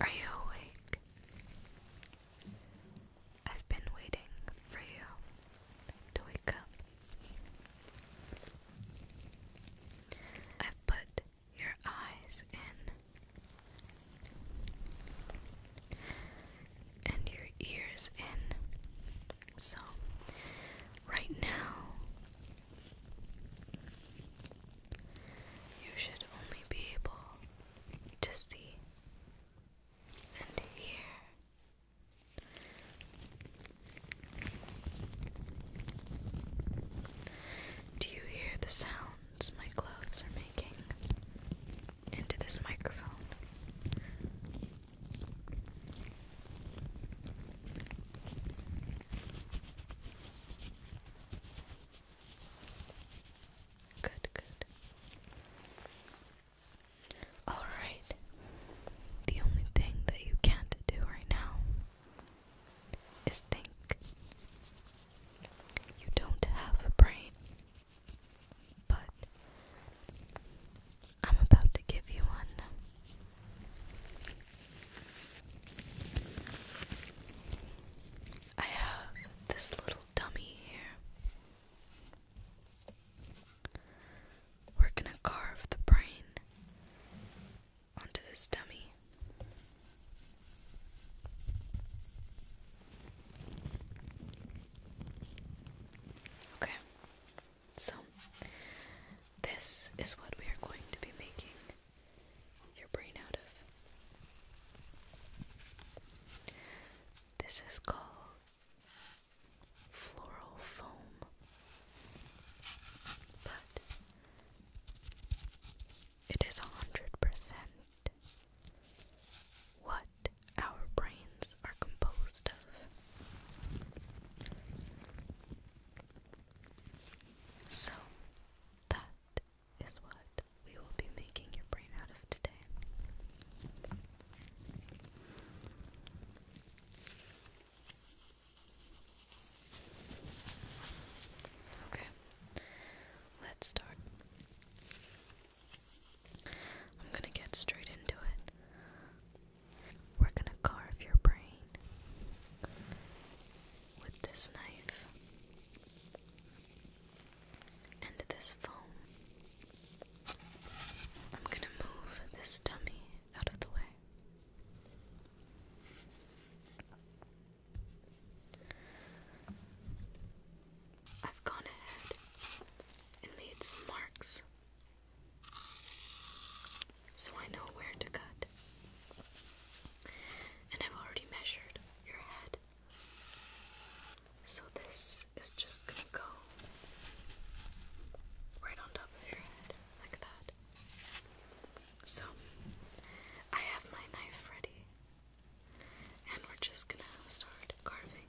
Are you awake? I've been waiting for you to wake up. I've put your eyes in and your ears in so, right now, you should only be able to see and hear. Do you hear the sounds my gloves are making into this microphone? Good, good. All right. The only thing that you can't do right now is think. You don't have a brain, but I'm about to give you one. I have this little dummy here. We're going to carve the brain onto this dummy. Okay. So, this is what we are going to be making your brain out of. This is called floral foam, but it is a hundred percent what our brains are composed of. So, that is what we will be making your brain out of today. Okay, let's start. I'm gonna get straight into it. We're gonna carve your brain with this knife and this foam. I'm gonna move this dummy out of the way. I've gone ahead and made some marks so I know where to cut. And I've already measured your head. So this is just gonna go right on top of your head, like that. So I have my knife ready, and we're just gonna start carving.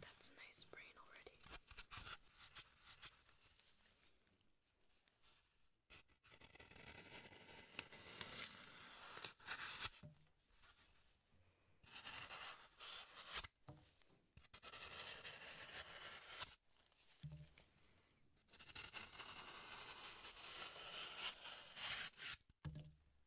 That's a nice brain already.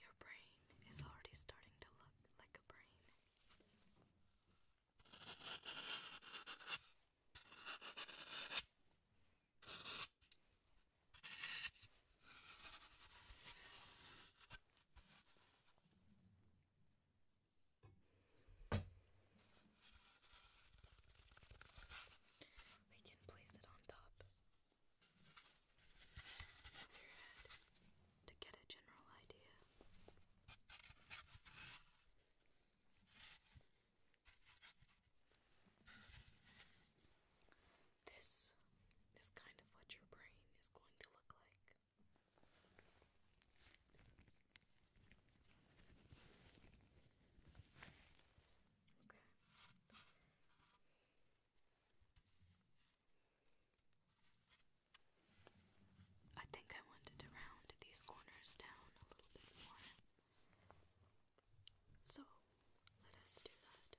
Your brain is already starting to look like a brain. We can place it on top of your head to get a general idea. This is kind of what your brain is going to look like. Okay. I think I wanted to round these corners down a little bit more. So let us do that.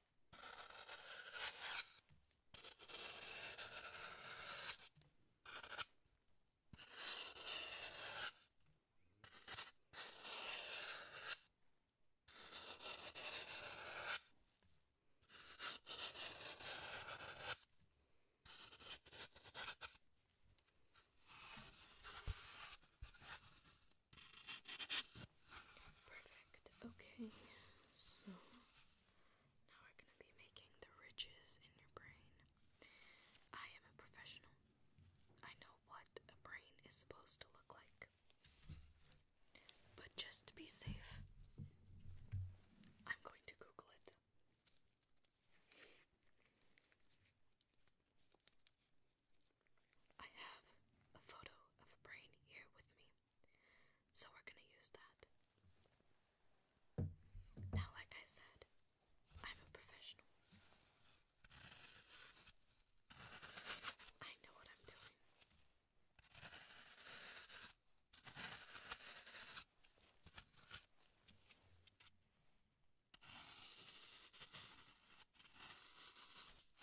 Perfect. Okay, so now we're going to be making the ridges in your brain. I am a professional. I know what a brain is supposed to look like. But just to be safe, I'm going to Google it. I have a photo of a brain here with me. So we're going to use that. Now, like I said, I'm a professional. I know what I'm doing.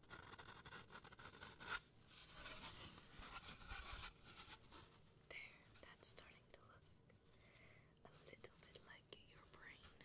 There, that's starting to look a little bit like your brain.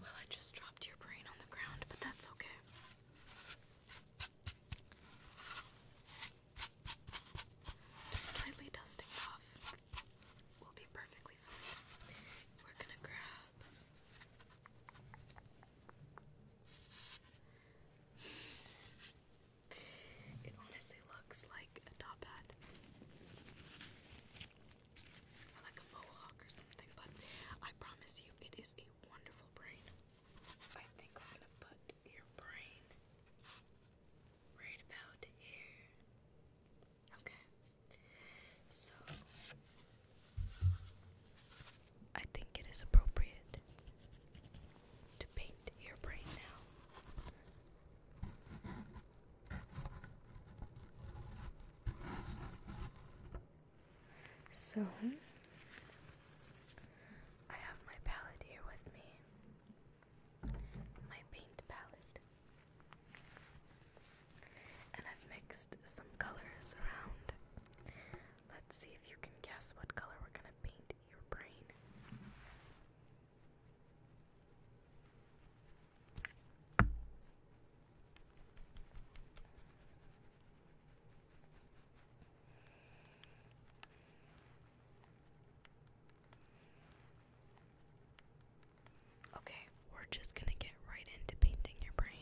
Well, I just dropped your brain on the ground, but that's okay. slightly dusting off will be perfectly fine. We're gonna grab it honestly looks like a top hat or like a mohawk or something, but I promise you it is a wonderful brain. I think I'm gonna put your brain right about here. Okay. So I think it is appropriate to paint your brain now. So, I have my palette here with me, my paint palette, and I've mixed some colors around. Let's see if you can guess what color we're going to paint your brain. Okay, we're just going to get right into painting your brain.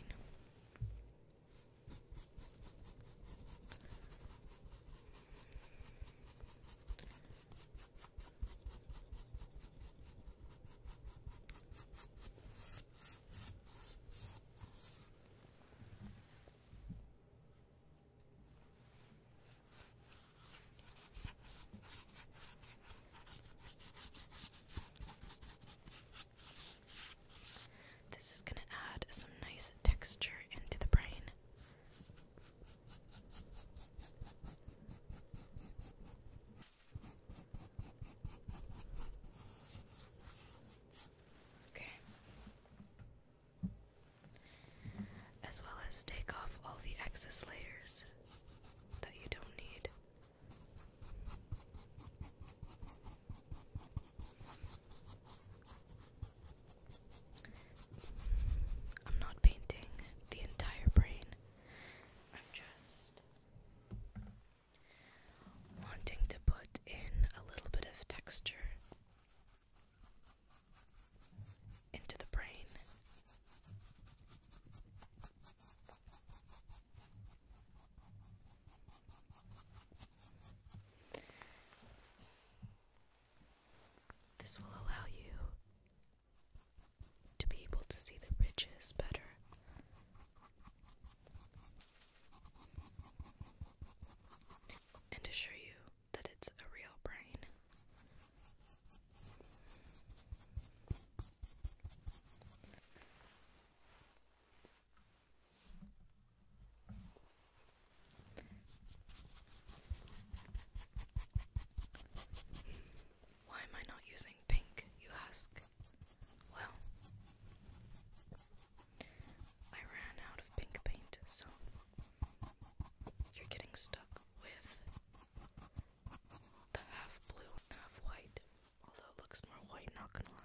This is going to add some nice texture into the brain. Okay. As well as take off all the excess layers that you don't need. I'm not painting the entire brain. I'm just wanting to put in a little bit of texture into the brain. This will allow you to be able to see the ridges better. And to show you that it's a real brain. Why am I not using pink, you ask? Well, I ran out of pink paint, so you're getting stuck with the half blue half white, although it looks more white, not gonna lie.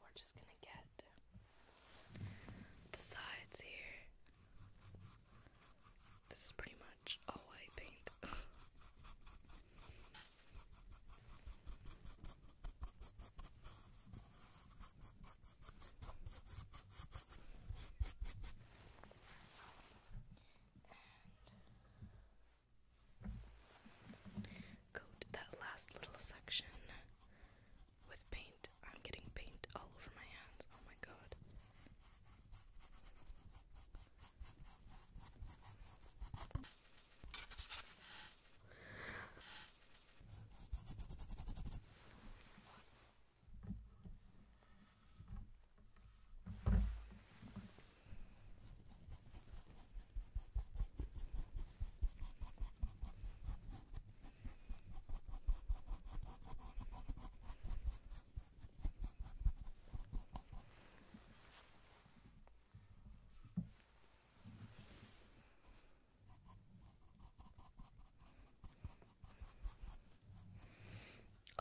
we're just gonna get the sides here. This is pretty much all white paint. Coat that last little section with paint. I'm getting paint all over my hands. Oh my god.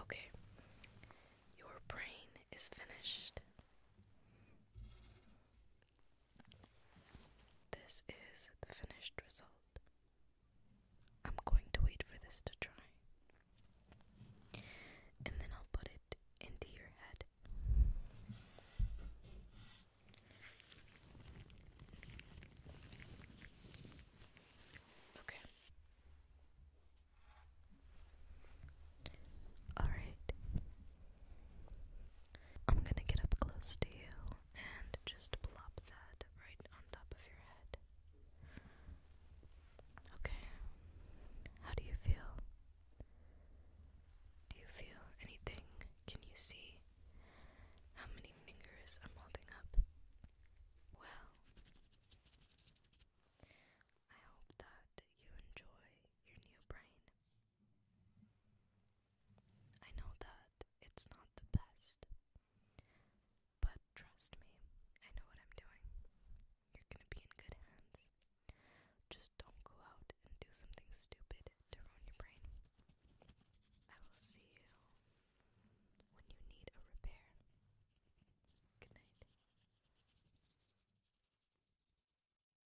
Okay, your brain is finished. This is the finished result. I'm going to wait for this to dry. And then I'll put it into your head. Okay. Alright. I'm gonna get up close to you and just plop that right on top of your head. Okay. How do you feel? Do you feel anything? Can you see how many fingers I'm holding up? Well, I hope that you enjoy your new brain. I know that it's not the best, but trust me, I know what I'm doing. You're gonna be in good hands. Just don't go out and do something stupid to ruin your brain. I will see you when you need a repair. Good night.